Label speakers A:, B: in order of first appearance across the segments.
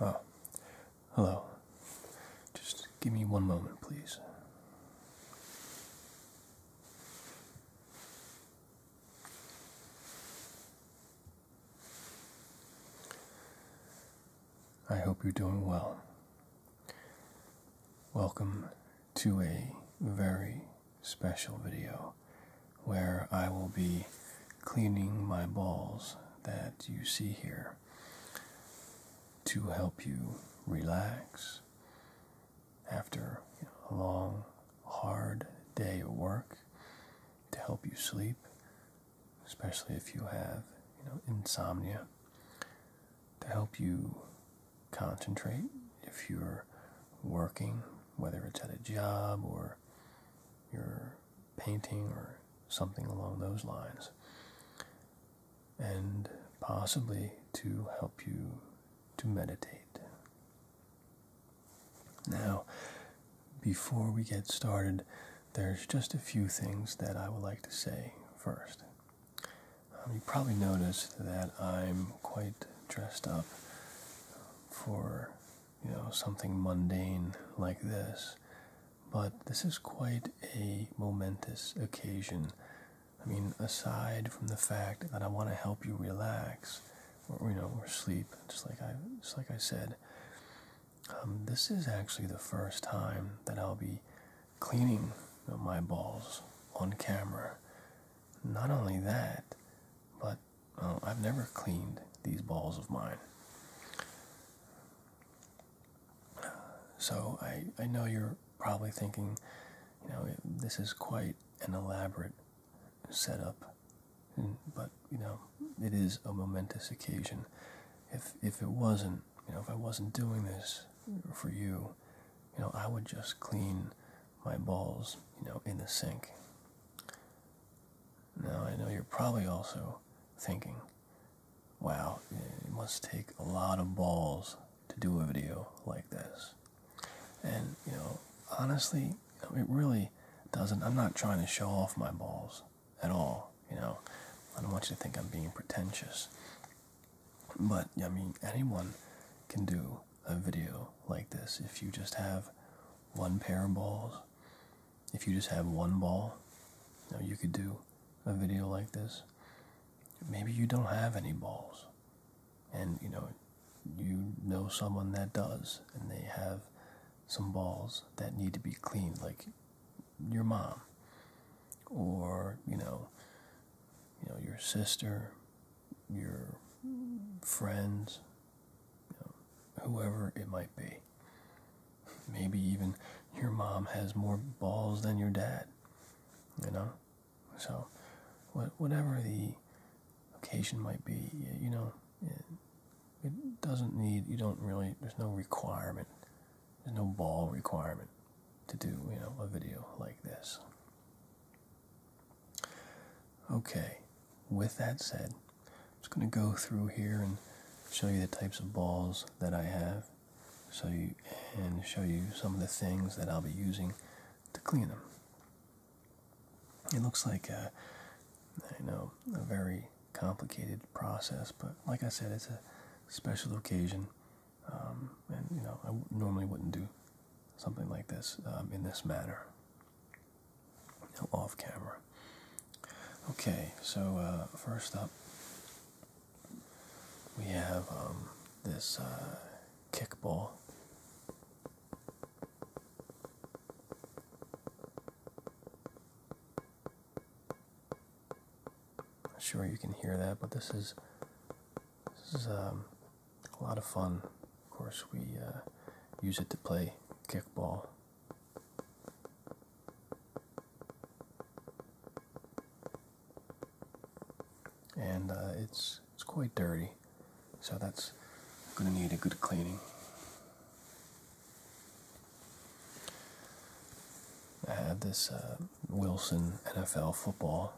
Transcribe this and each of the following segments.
A: Oh, hello. Just give me one moment, please. I hope you're doing well. Welcome to a very special video where I will be cleaning my balls that you see here to help you relax after a long, hard day of work, to help you sleep, especially if you have you know, insomnia, to help you concentrate if you're working, whether it's at a job or you're painting or something along those lines, and possibly to help you to meditate. Now, before we get started, there's just a few things that I would like to say first. Um, you probably noticed that I'm quite dressed up for you know, something mundane like this. But this is quite a momentous occasion. I mean, aside from the fact that I want to help you relax, or you know, or sleep, just like I, just like I said, um, this is actually the first time that I'll be cleaning my balls on camera. Not only that, but Oh, I've never cleaned these balls of mine. So I, I know you're probably thinking, you know, this is quite an elaborate setup, but you know, it is a momentous occasion. If if it wasn't, you know, if I wasn't doing this for you, you know, I would just clean my balls, you know, in the sink. Now I know you're probably also thinking, wow, it must take a lot of balls to do a video like this. And, you know, honestly, it really doesn't. I'm not trying to show off my balls at all, you know. I don't want you to think I'm being pretentious. But, I mean, anyone can do a video like this if you just have one pair of balls if you just have one ball you, you could do a video like this maybe you don't have any balls and you know you know someone that does and they have some balls that need to be cleaned like your mom or you know you know your sister your friends, whoever it might be. Maybe even your mom has more balls than your dad, you know? So, whatever the occasion might be, you know, it doesn't need, you don't really, there's no requirement, there's no ball requirement to do, you know, a video like this. Okay, with that said, I'm just going to go through here and show you the types of balls that I have so you and show you some of the things that I'll be using to clean them. It looks like a, uh, I know a very complicated process, but like I said, it's a special occasion, um, and you know I normally wouldn't do something like this um, in this manner you off camera. Okay, so uh, first up, we have um, this uh, Not Sure, you can hear that, but this is this is um, a lot of fun. Of course, we uh, use it to play kickball. And uh, it's it's quite dirty, so that's going to need a good cleaning. I have this uh, Wilson NFL football.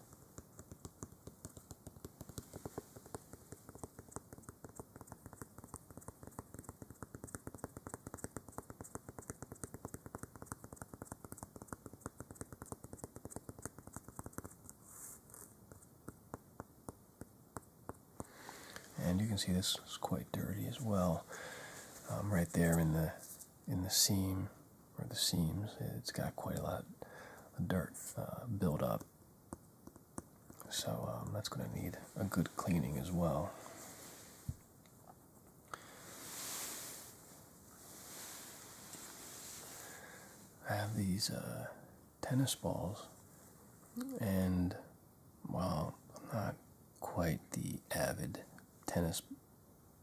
A: And you can see this is quite dirty as well, um, right there in the in the seam or the seams. It's got quite a lot of dirt uh, built up. So um, that's going to need a good cleaning as well. I have these uh, tennis balls, and while I'm not quite the avid tennis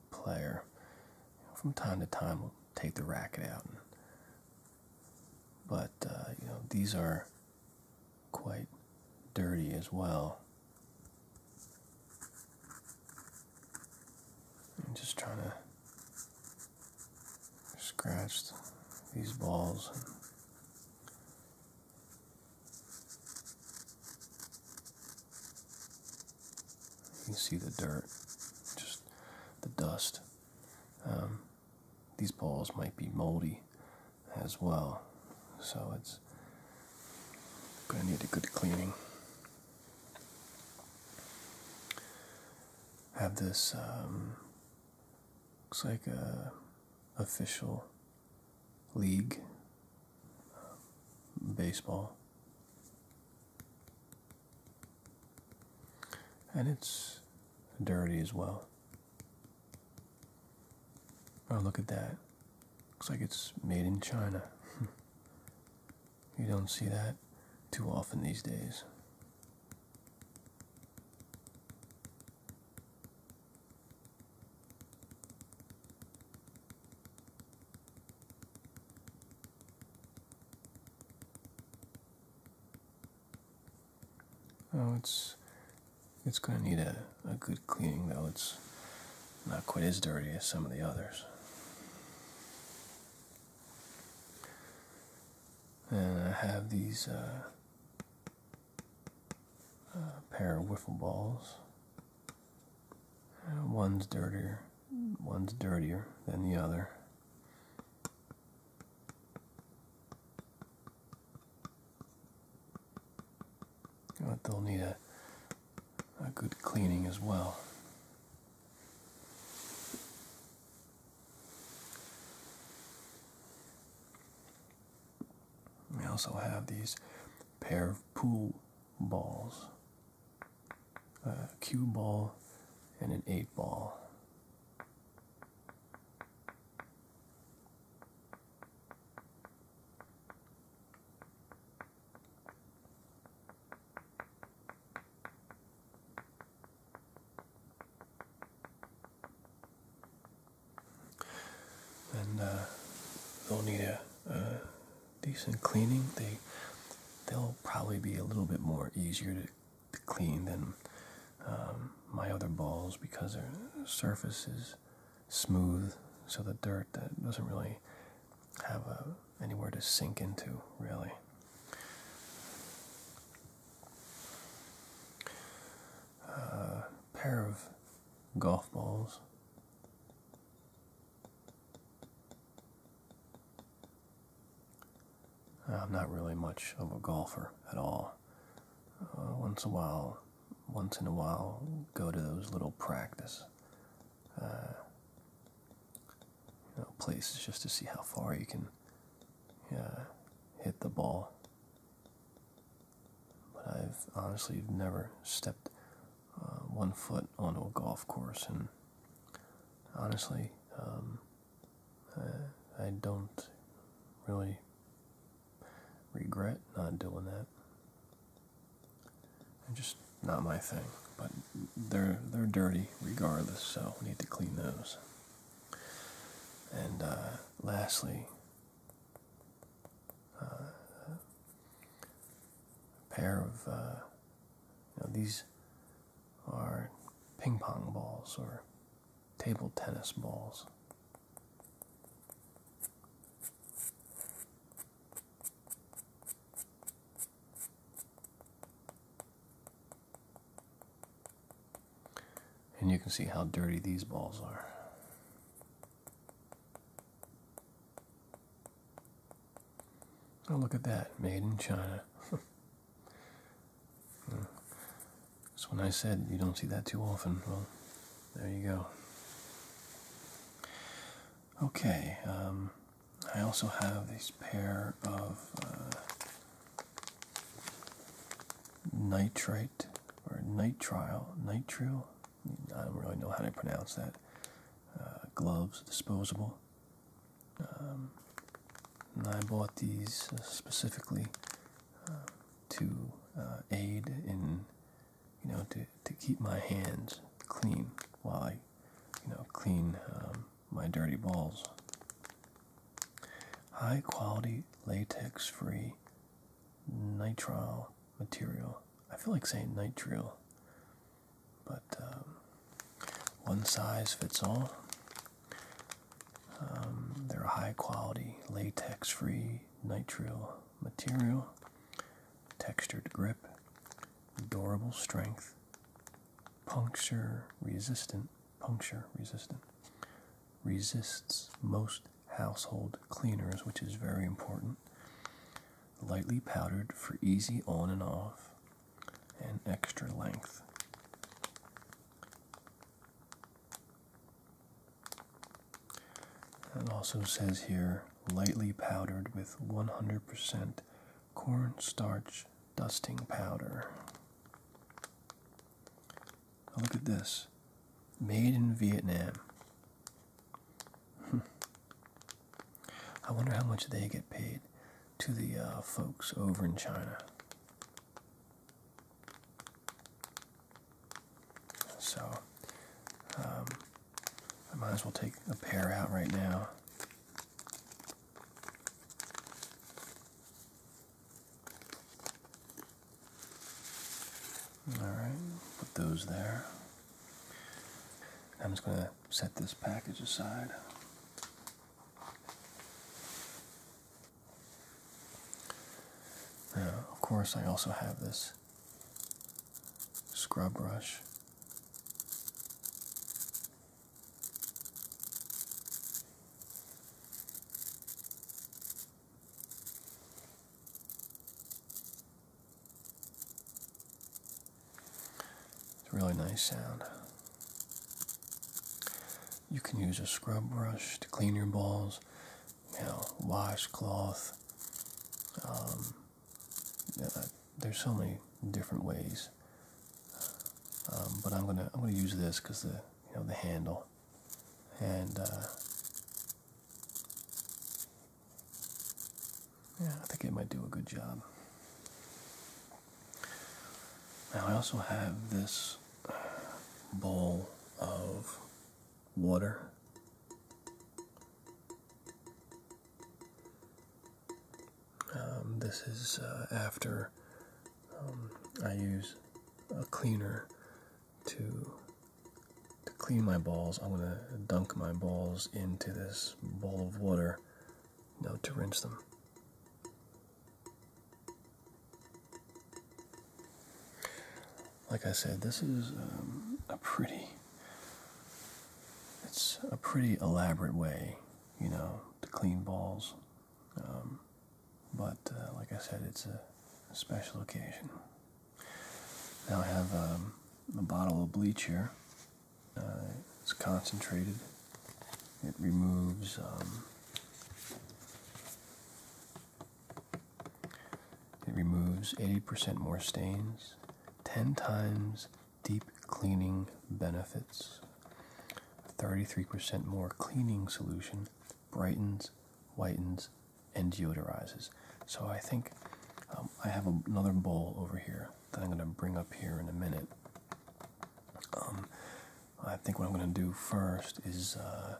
A: player, from time to time we'll take the racket out and but uh, you know these are quite dirty as well. I'm just trying to scratch these balls. you can see the dirt, just the dust. Um, these balls might be moldy as well. So it's going to need a good cleaning. Have this, um, looks like a official league um, baseball. And it's dirty as well. Oh, look at that. Looks like it's made in China. you don't see that too often these days. Oh, it's it's gonna need a, a good cleaning though. It's not quite as dirty as some of the others. And I have these uh, uh, pair of wiffle balls. Uh, one's dirtier, one's dirtier than the other they'll need a, a good cleaning as well. We also have these pair of pool balls a cue ball and an eight ball. And uh, they'll need a, a decent cleaning. They they'll probably be a little bit more easier to clean than um, my other balls because their surface is smooth, so the dirt that doesn't really have anywhere to sink into, really. Uh, pair of golf balls. I'm not really much of a golfer at all uh, once a while, once in a while, go to those little practice uh, places just to see how far you can uh, hit the ball. But I've honestly never stepped uh, one foot onto a golf course, and honestly, um, I, I don't really regret not doing that. just not my thing, but they're they're dirty regardless, so we need to clean those. And uh, lastly, uh, a pair of uh, these are ping pong balls or table tennis balls. And you can see how dirty these balls are. Oh, look at that, made in China. So when I said you don't see that too often, well, there you go. Okay, um, I also have this pair of uh, nitrite or nitrile, nitro. I don't really know how to pronounce that, uh, gloves, disposable. Um, and I bought these uh, specifically to uh, aid in, you know, to, to keep my hands clean while I, you know, clean um, my dirty balls. High quality latex free nitrile material. I feel like saying nitrile, but um, one size fits all. Um, they're a high quality latex free nitrile material, textured grip, durable strength, puncture resistant, puncture resistant, resists most household cleaners, which is very important. Lightly powdered for easy on and off and extra length. It also says here lightly powdered with 100% cornstarch dusting powder. look at this. Made in Vietnam. I wonder how much they get paid to the uh, folks over in China. So um, I might as well take a pair out right now. Alright, put those there. I'm just going to set this package aside. Uh, of course, I also have this scrub brush. It's a really nice sound. You can use a scrub brush to clean your balls, you know, washcloth. Um, there's so many different ways, um, but I'm gonna I'm gonna use this because the you know the handle, and uh, yeah, I think it might do a good job. Now I also have this this bowl of water. Um, this is uh, after um, I use a cleaner to to clean my balls. I'm gonna dunk my balls into this bowl of water, now to rinse them. Like I said, this is um, a pretty. It's a pretty elaborate way, you know, to clean balls. Um, but uh, like I said, it's a, special occasion. Now I have um, a bottle of bleach here. Uh, it's concentrated. It removes it removes 80% more stains, 10 times deep cleaning benefits, 33% more cleaning solution, brightens, whitens, and deodorizes. So I think um, I have another bowl over here that I'm going to bring up here in a minute. Um, I think what I'm going to do first is uh,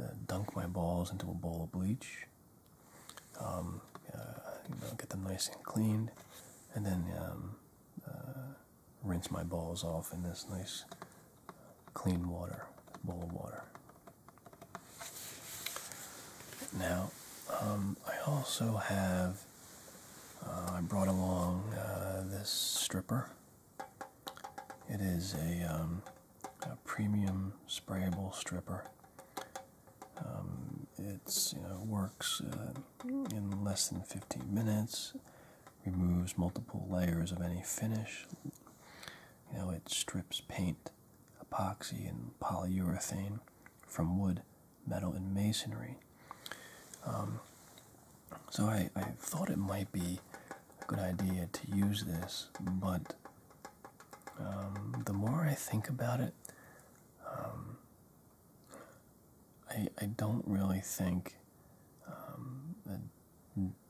A: uh, dunk my balls into a bowl of bleach, um, uh, you know, get them nice and cleaned, and then um, uh, rinse my balls off in this nice clean water, bowl of water. Now, um, I also have, I brought along this stripper. It is um, a, premium sprayable stripper. Um, it works uh, in less than 15 minutes. Removes multiple layers of any finish. You know it strips paint, epoxy, and polyurethane from wood, metal, and masonry. Um, so I thought it might be a good idea to use this, but um, the more I think about it, um, I, I don't really think um, that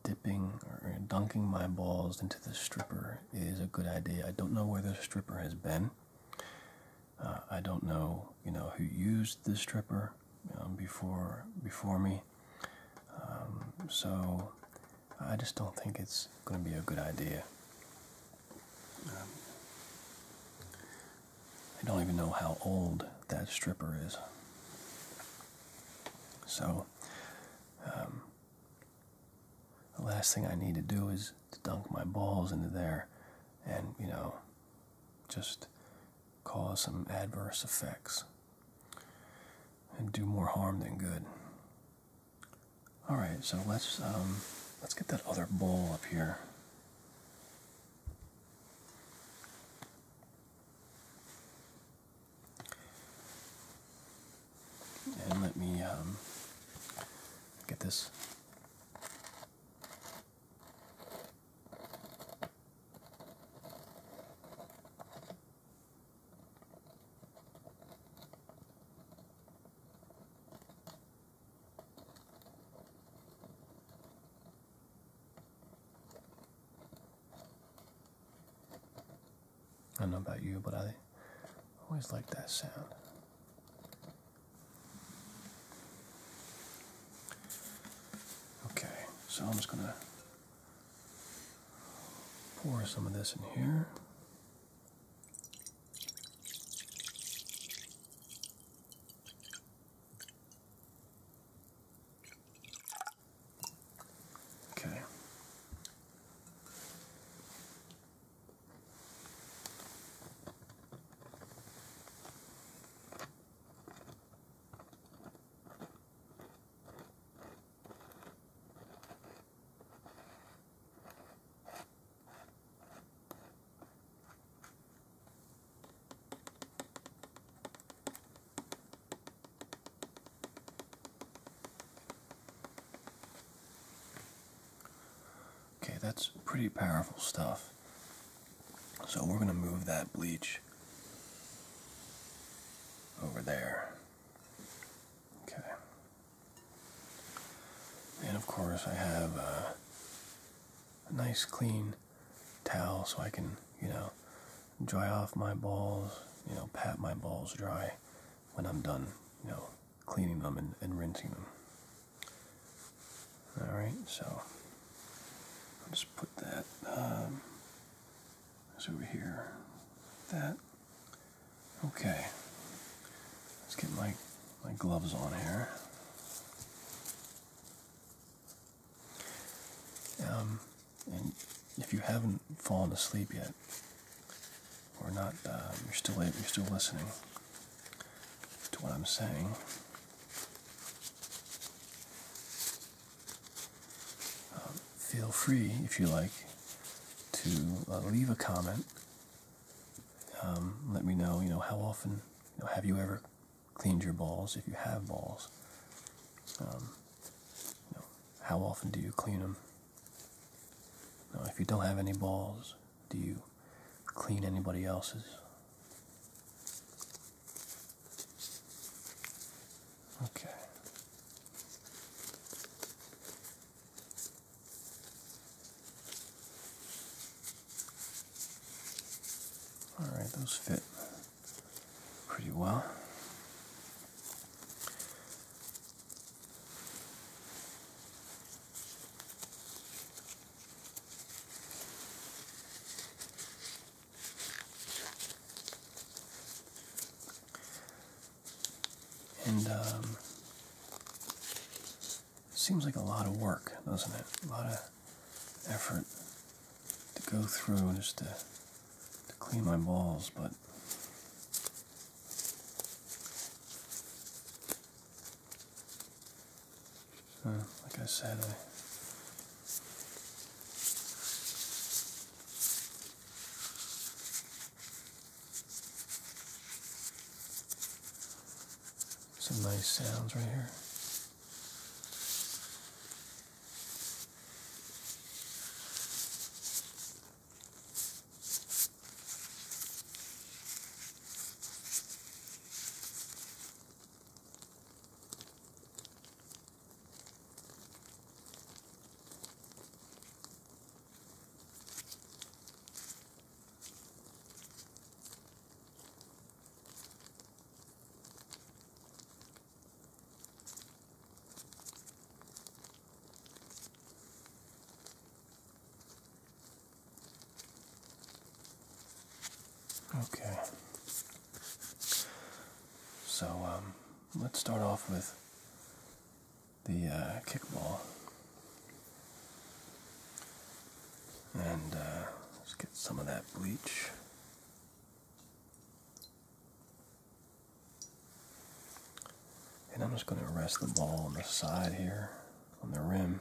A: dipping or dunking my balls into the stripper is a good idea. I don't know where the stripper has been. Uh, I don't know, you know, who used the stripper before before me. Um, so I just don't think it's going to be a good idea. Um, I don't even know how old that stripper is. So, um, the last thing I need to do is to dunk my balls into there and, you know, just cause some adverse effects and do more harm than good. All right, so let's um, let's get that other bowl up here. And let me um, get this. I don't know about you, but I always like that sound. Okay, so I'm just gonna Pour some of this in here. Okay. Okay, that's pretty powerful stuff. So we're going to move that bleach over there. Okay. And of course, I have uh, a nice clean towel so I can, you know, dry off my balls, you know, pat my balls dry when I'm done, you know, cleaning them and, rinsing them. Alright, so I'll just put that um, that's over here. That. Okay. Let's get my, my gloves on here. Um, and if you haven't fallen asleep yet, or not, um, you're still you're still listening to what I'm saying feel free, if you like, to uh, leave a comment. Um, let me know, you know, how often, have you ever cleaned your balls if you have balls? Um, how often do you clean them? Now, if you don't have any balls, do you clean anybody else's? Okay. All right, those fit pretty well. And um, seems like a lot of work, doesn't it? A lot of effort to go through just to, to clean my balls, but uh, like I said, some nice sounds right here. Okay. So, um, let's start off with the uh, kickball. And uh, let's get some of that bleach. And I'm just going to rest the ball on the side here, on the rim.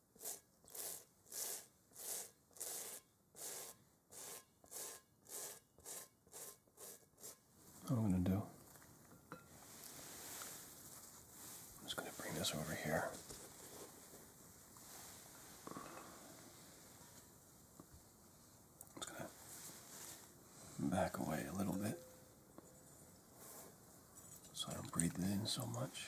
A: I'm going to do, I'm just going to bring this over here. just going to back away a little bit so I don't breathe it in so much.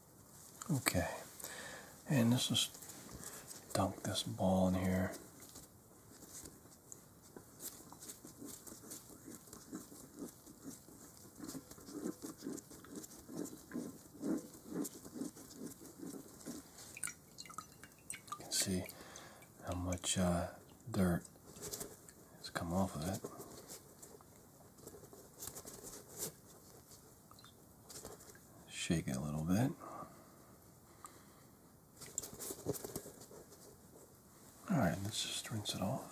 A: Okay, and let's just dunk this ball in here. You can see how much uh, dirt has come off of it. Shake it a little bit. Alright, let's just rinse it off.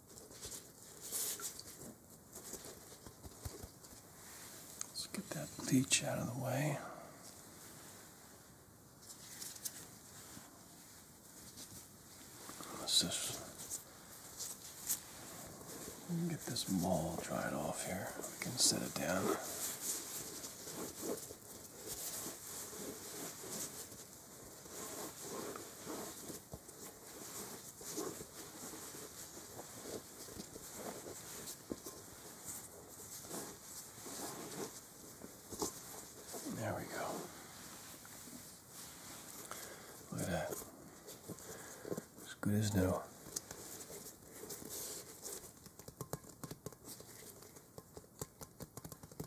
A: Let's get that bleach out of the way. Let's just get this mold dried off here. We can set it down. There we go. Look at that. As good as new.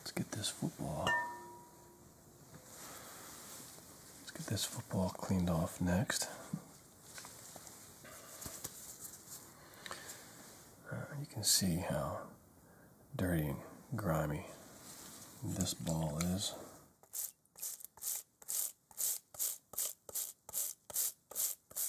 A: Let's get this football. Let's get this football cleaned off next. Uh, you can see how dirty and grimy this ball is.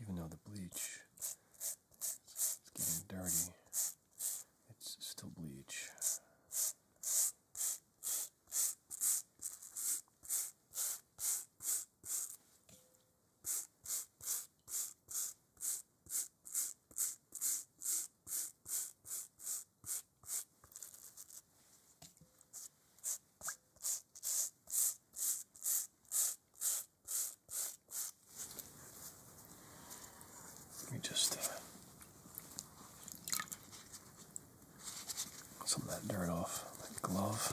A: Even though the bleach is getting dirty, it's still bleach. Let me just uh, some of that dirt off my glove.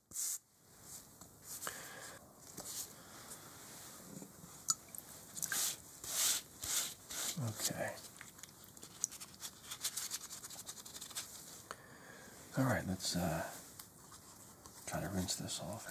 A: Okay. All right, let's uh, try to rinse this off.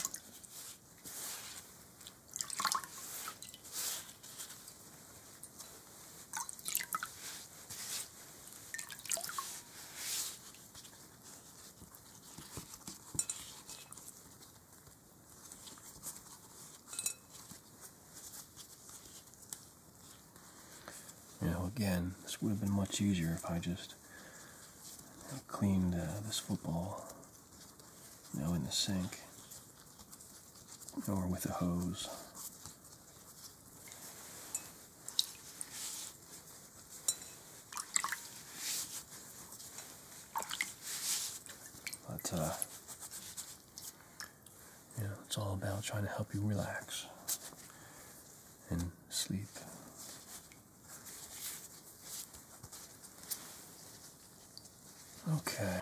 A: You know, again, this would have been much easier if I just cleaned uh, this football, you in the sink or with a hose. But, uh, you know, it's all about trying to help you relax and sleep. Okay.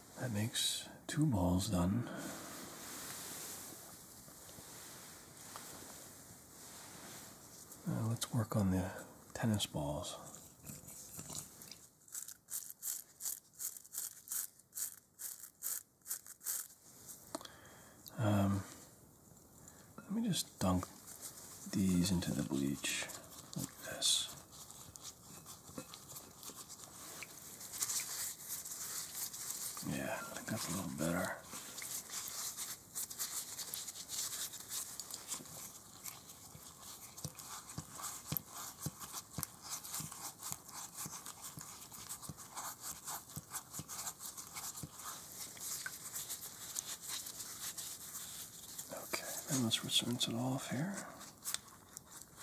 A: That makes two balls done. let's work on the tennis balls. Um, let me just dunk these into the bleach like this. Yeah, I think that's a little better. Okay, let's rinse it off here.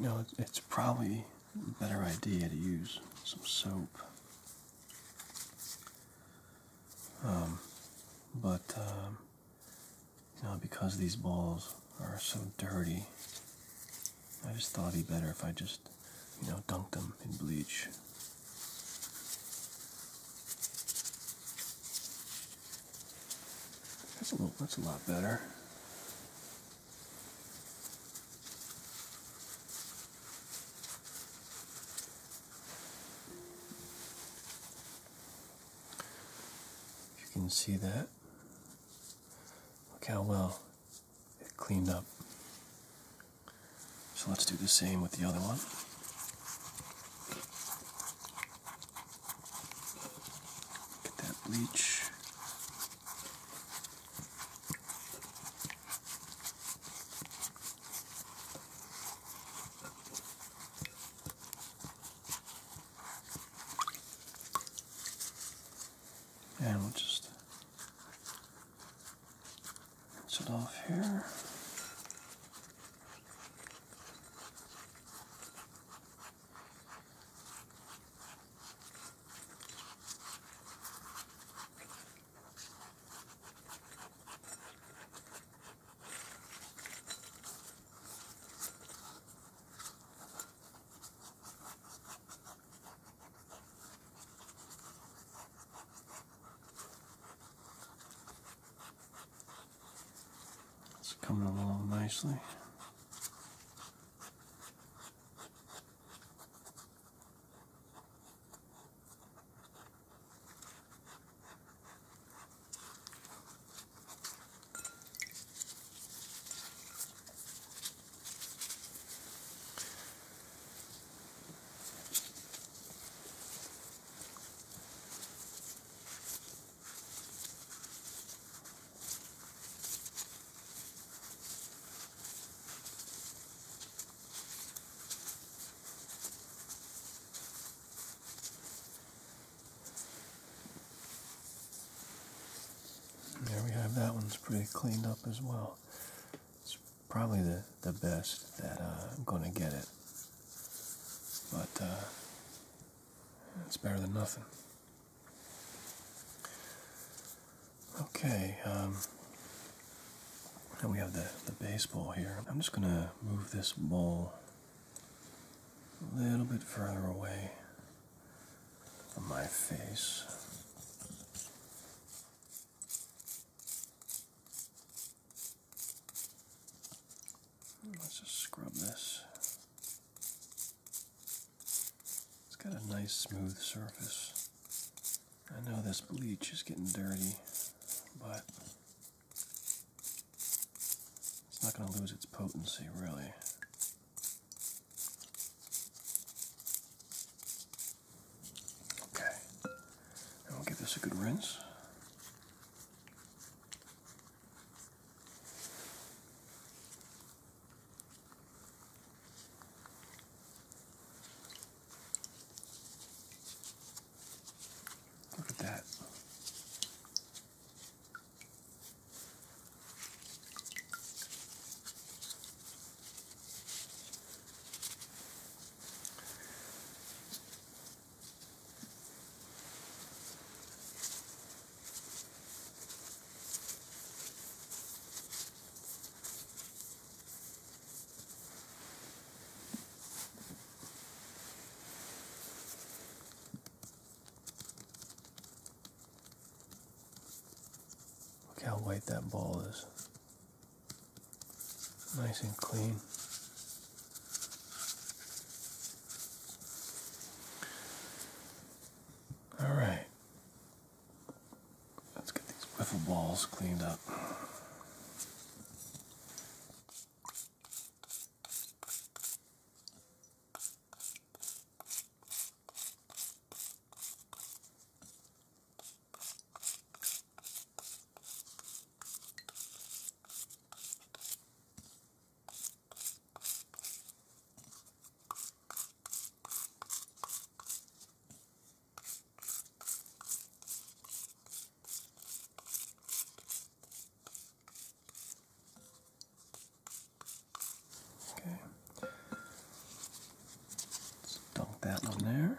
A: You know, it's probably a better idea to use some soap. Um, but, um, you know, because these balls are so dirty, I just thought it'd be better if I just, you know, dunk them in bleach that's a little, that's a lot better. You can see that. Look how well it cleaned up. So let's do the same with the other one. Get that bleach. And we'll just Rinse it off here. It's coming along nicely. There we have that one's pretty cleaned up as well probably the, the best that uh, I'm going to get it. But uh, it's better than nothing. Okay, um, now we have the, the baseball here. I'm just going to move this ball a little bit further away from my face. Let's just scrub this. It's got a nice smooth surface. I know this bleach is getting dirty, but it's not going to lose its potency really. Okay. And will give this a good rinse. Look at that. Look how white that ball is nice and clean. All right, let's get these wiffle balls cleaned up. Okay. Let's dunk that one there.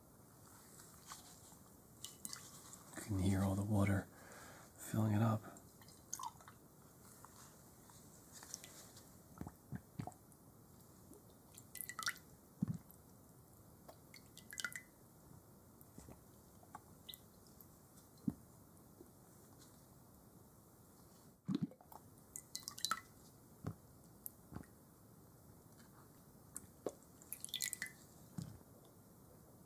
A: You can hear all the water filling it up.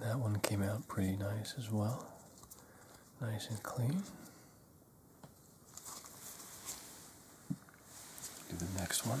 A: That one came out pretty nice as well. Nice and clean. Do the next one.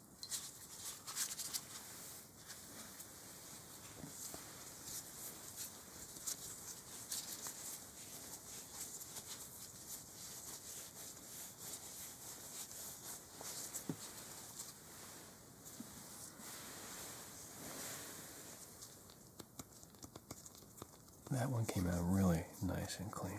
A: That one came out really nice and clean.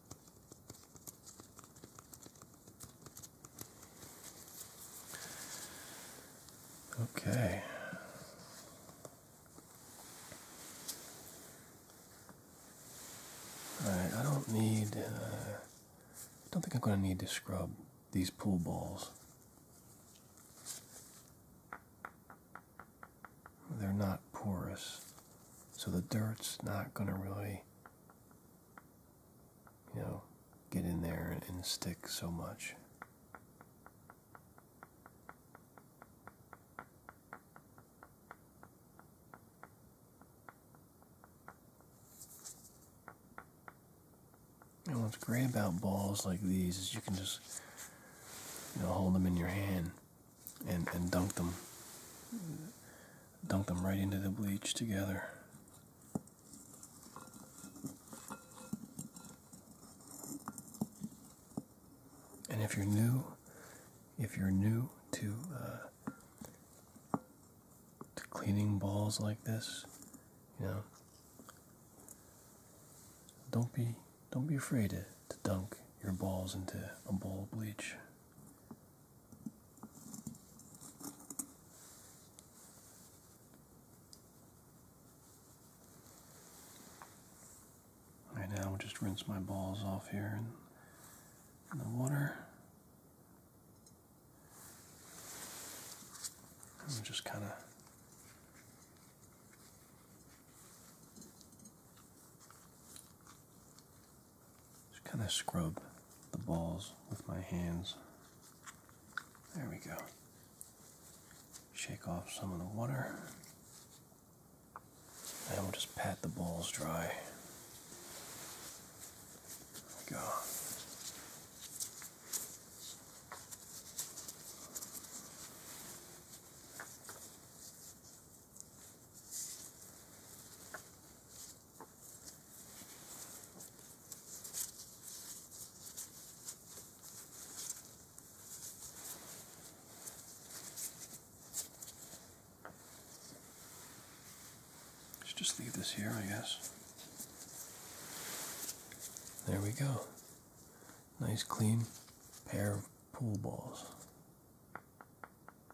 A: Okay. All right, I don't need, uh, I don't think I'm going to need to scrub these pool balls. They're not porous, so the dirt's not going to really you know, get in there and, stick so much. And what's great about balls like these is you can just you know hold them in your hand and and dunk them dunk them right into the bleach together and if you're new if you're new to uh, to cleaning balls like this you know don't be don't be afraid to, to dunk your balls into a bowl of bleach Right now, I'll just rinse my balls off here in, the water. I'm just kind of just kind of scrub the balls with my hands. There we go. Shake off some of the water. And we'll just pat the balls dry. go just leave this here, I guess. There we go. Nice clean pair of pool balls.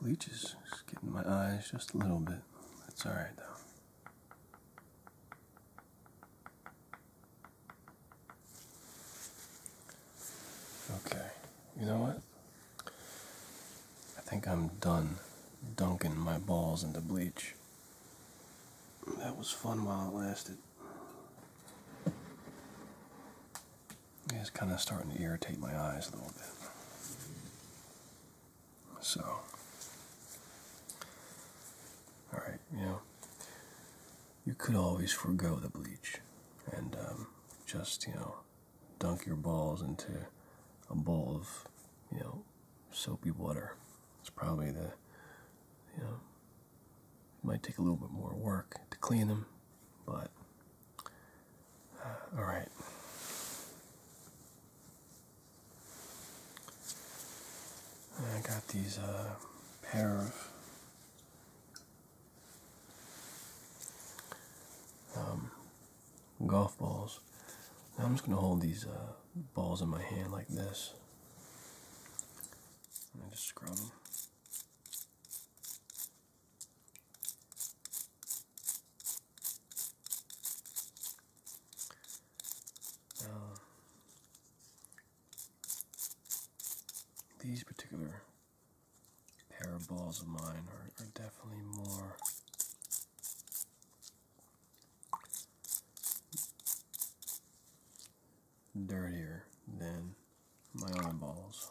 A: Bleach is getting my eyes just a little bit. That's all right, though. Okay, you know what? I think I'm done dunking my balls into bleach. That was fun while it lasted. It's kind of starting to irritate my eyes a little bit. So, all right, you know, you could always forego the bleach and um, just, you know, dunk your balls into a bowl of, you know, soapy water. It's probably the, you know, it might take a little bit more work to clean them, but all right. I got these uh, pair of um, golf balls. I'm just going to hold these uh, balls in my hand like this. And I just scrub them. Uh, these particular pair of balls of mine are definitely more dirtier than my own balls.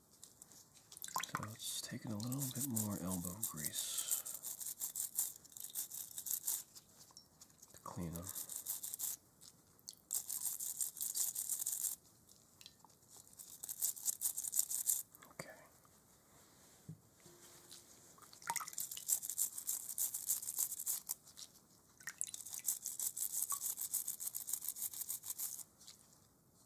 A: So let's a little bit more elbow grease to clean them. Okay.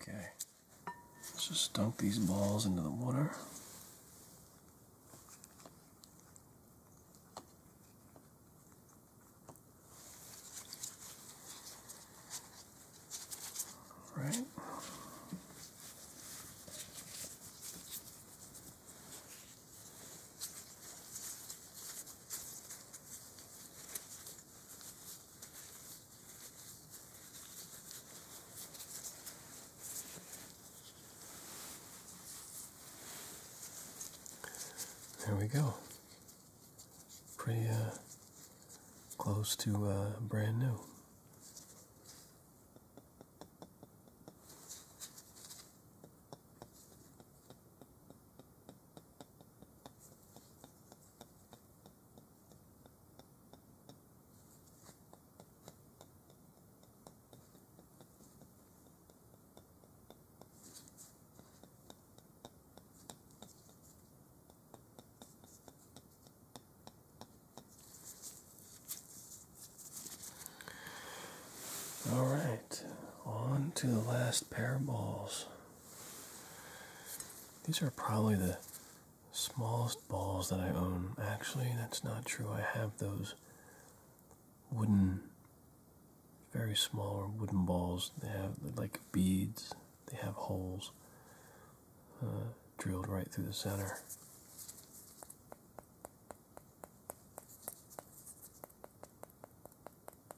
A: Okay, let's just dunk these balls into the water. All right. There we go. Pretty uh, close to uh, brand new. All right, on to the last pair of balls. These are probably the smallest balls that I own. Actually, that's not true. I have those wooden, very small wooden balls. They have like beads, they have holes uh, drilled right through the center.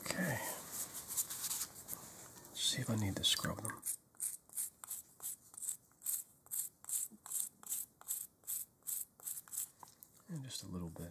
A: Okay. see if I need to scrub them. just a little bit.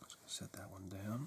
A: I'm just going to set that one down.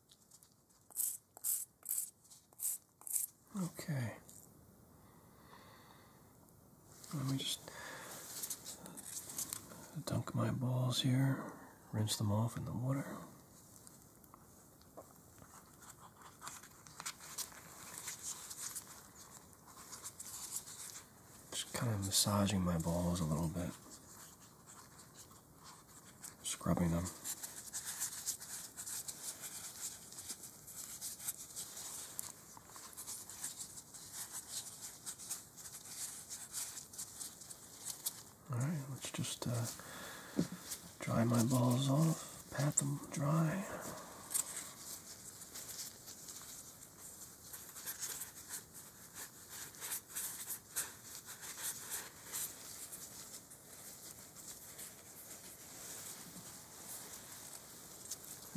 A: Okay. Let me just dunk my balls here, rinse them off in the water. Just kind of massaging my balls a little bit scrubbing them. All right, let's just uh, dry my balls off, pat them dry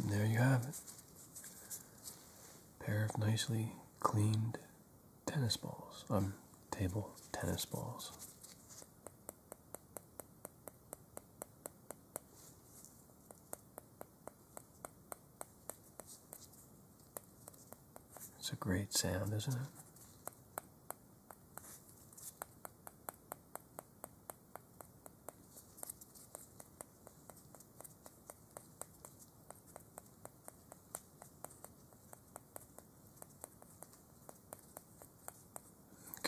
A: there you have it. Pair of nicely cleaned tennis balls. Um, table tennis balls. It's a great sound, isn't it?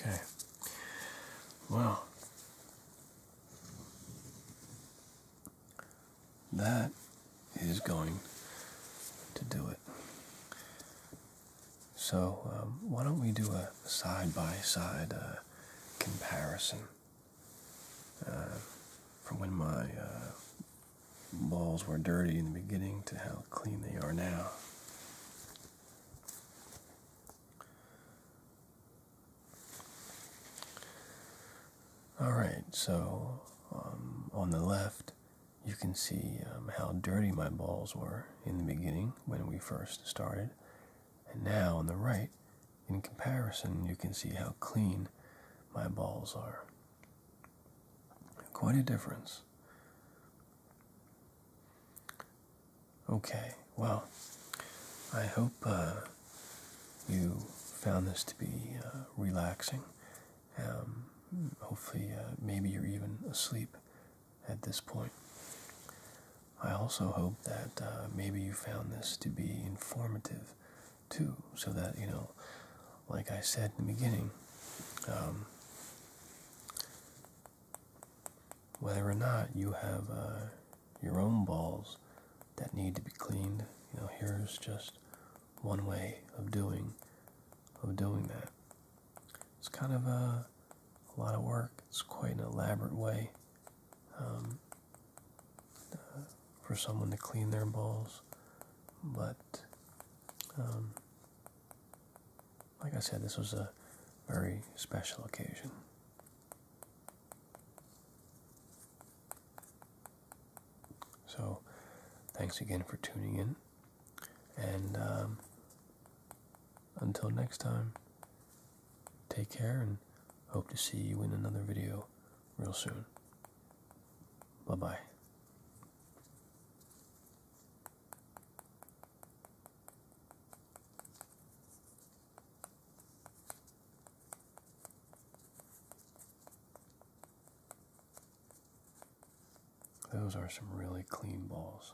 A: Okay. Well, that is going to do it. So, um, why don't we do a side by side comparison uh, from when my uh, balls were dirty in the beginning to how clean they are now? All right, so um, on the left you can see um, how dirty my balls were in the beginning when we first started. And now on the right, in comparison, you can see how clean my balls are. Quite a difference. Okay, well, I hope uh, you found this to be uh, relaxing um, hopefully, uh, maybe you're even asleep at this point. I also hope that uh, maybe you found this to be informative too, so that, you know, like I said in the beginning, um, whether or not you have uh, your own balls that need to be cleaned, you know, here's just one way of doing of doing that. It's kind of a, lot of work. It's quite an elaborate way um, uh, for someone to clean their bowls, but um, like I said, this was a very special occasion. So, thanks again for tuning in. And um, until next time, take care and hope to see you in another video real soon. Bye-bye. Those are some really clean balls.